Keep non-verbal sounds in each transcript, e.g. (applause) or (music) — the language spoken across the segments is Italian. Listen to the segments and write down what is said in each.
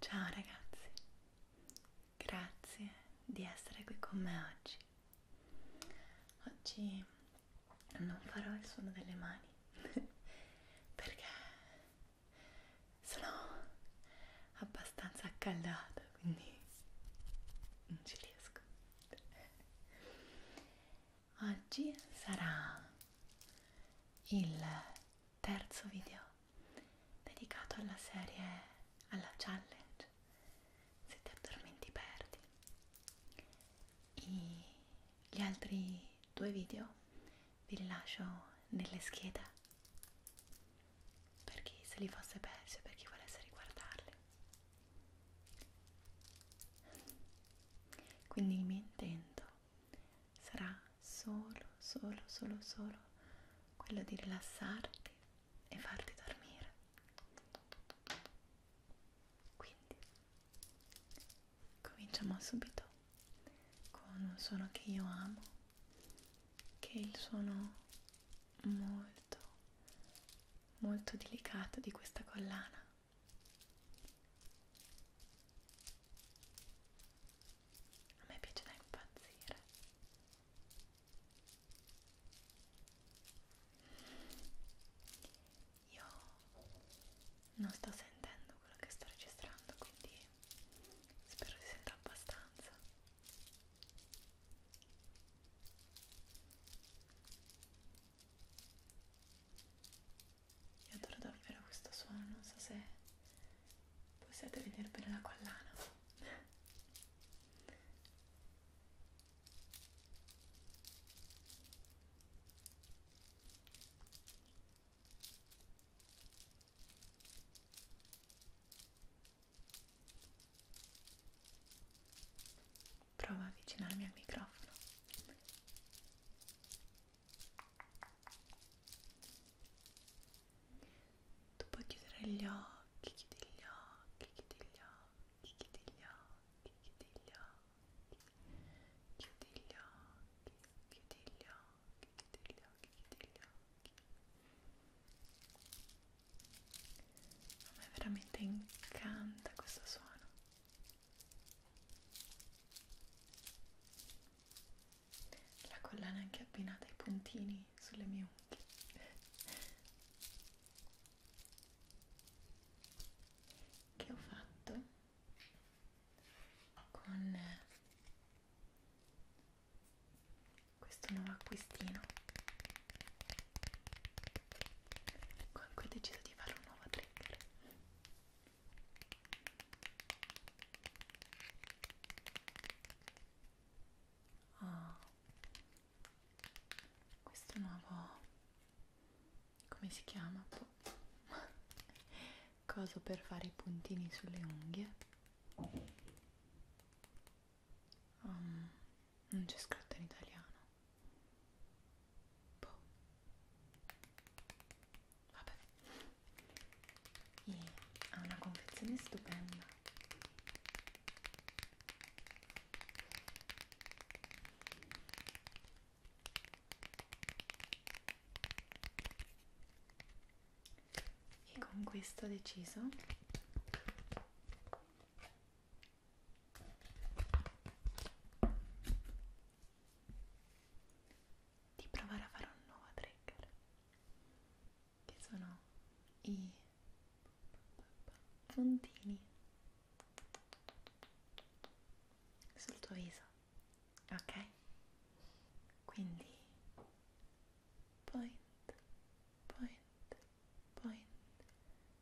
Ciao ragazzi, grazie di essere qui con me oggi. Oggi non farò il suono delle mani (laughs) perché sono abbastanza accaldata, quindi non ci riesco. Oggi sarà il terzo video dedicato alla serie, alla challenge Se ti addormenti perdi. I, gli altri due video vi rilascio nelle schede per chi se li fosse persi o per chi volesse riguardarli. Quindi il mio intento sarà solo, solo, solo, solo quello di rilassarti e farti dormire. Quindi cominciamo subito con un suono che io amo, che è il suono molto molto delicato di questa collana a me piace da impazzire io non sto sentendo quello che sto registrando quindi spero si senta abbastanza io adoro davvero questo suono, non so se possiate vedere bene la collana. Provo a avvicinarmi al microfono. Tu puoi chiudere gli occhi, chiudi gli occhi, chiudi gli occhi, chiudi gli occhi, chiudi gli occhi, chiudi gli occhi, chiudi gli occhi, chiudi gli occhi, chiudi gli occhi. A me veramente incanta questo suono. La collana è anche abbinata ai puntini sulle mie unghie. che ho fatto con questo nuovo acquistino comunque ho deciso di fare un nuovo trigger oh. questo nuovo come si chiama? (laughs) coso per fare i puntini sulle unghie um, non c'è scritto in italiano boh. vabbè e ha una confezione stupenda e con questo ho deciso di provare a fare un nuovo trigger che sono i puntini sul tuo viso ok quindi point point point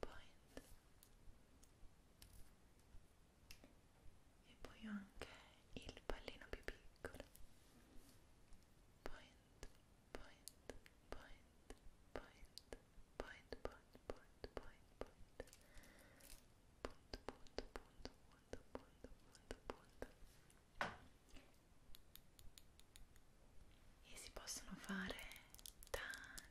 point e poi ho anche il pallino più piccolo point point point point point point point point point punto punto punto punto punto punto punto e si possono fare tanti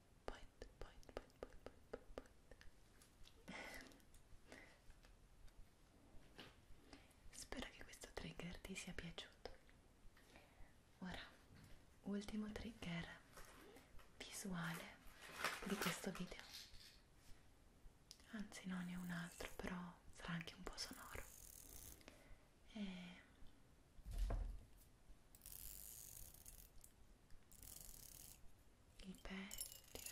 point, point, point, point, point, point. (laughs) Spero che questo trigger ti sia piaciuto. Ora, ultimo trigger visuale di questo video. Anzi, non è un altro, però sarà anche un po' sonoro eh, il pettine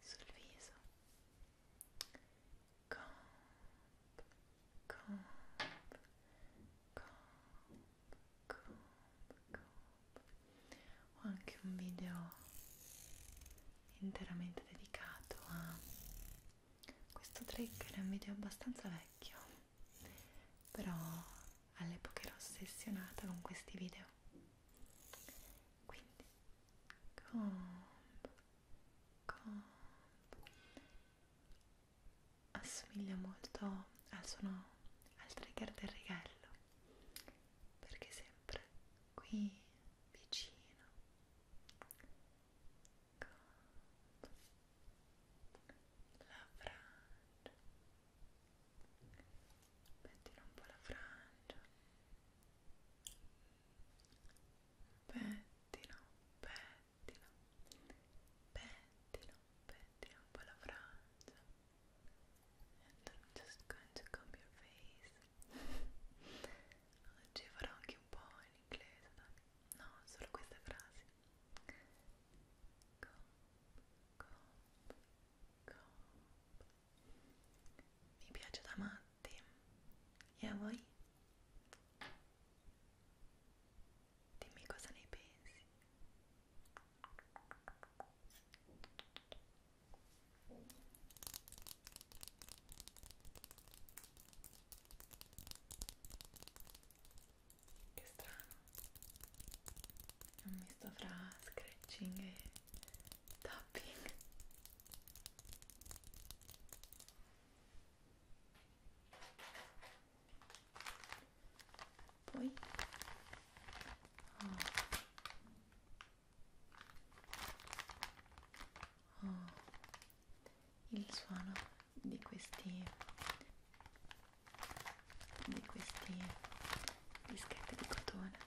sul viso comp comp comp comp comp ho anche un video interamente dedicato a questo trigger è un video abbastanza vecchio però all'epoca ero ossessionata con questi video quindi comp comp assomiglia molto al suono al trigger del righello perché sempre qui vicino la frangia pettino un po' la frangia pettino, pettino pettino, pettino un po' la frangia and I'm just going to comb your face oggi farò anche un po' in inglese dai. no, solo queste frasi comp, comp. Mi piace da matti. E a voi? Dimmi cosa ne pensi. Che strano. È un misto fra scratching e tapping. Poi oh. Oh il suono di questi di questi dischetti di cotone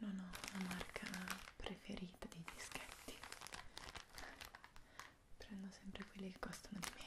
non ho una marca preferita di dischetti prendo sempre quelli che costano di meno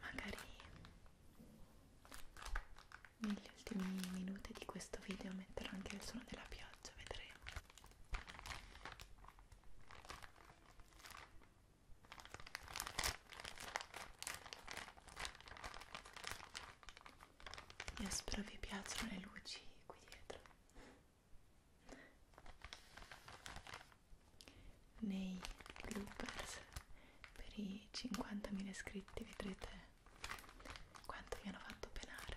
magari negli ultimi minuti di questo video metterò anche il suono della pioggia vedremo io spero vi piacciono le luci qui dietro nei bloopers per i 50.000 iscritti vedrete quanto mi hanno fatto penare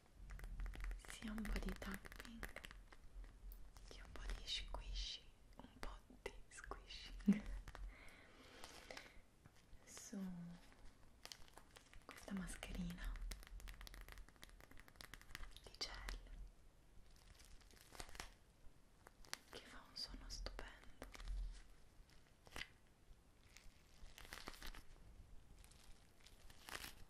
sia un po' di tapping che un po' di squishy un po' di squishing su questa mascherina di gel che fa un suono stupendo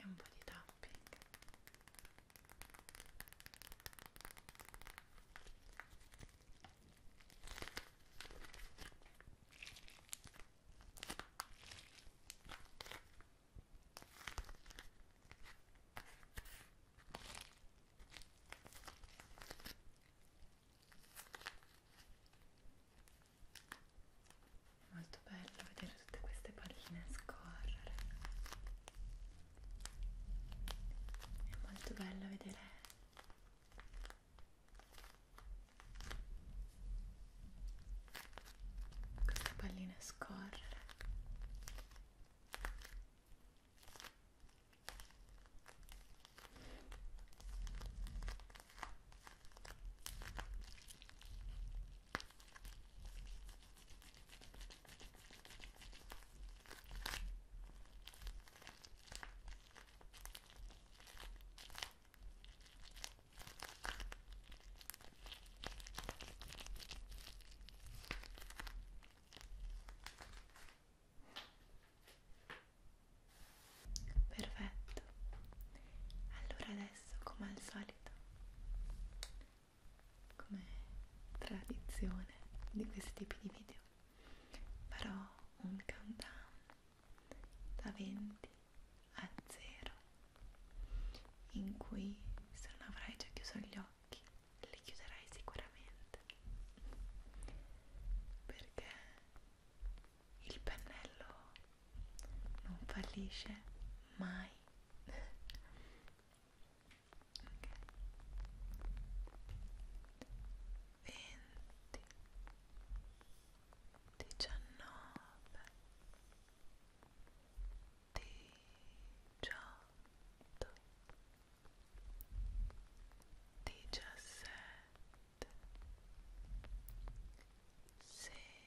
e un po' di tapping molto bello vedere tutte queste palline scorrere è molto bello vedere queste palline scorrere Perfetto. Allora adesso, come al solito, come tradizione di questi tipi di video, farò un countdown da 20 a 0 in cui se non avrai già chiuso gli occhi li chiuderai sicuramente perché il pennello non fallisce mai okay. 20 19 18 17 16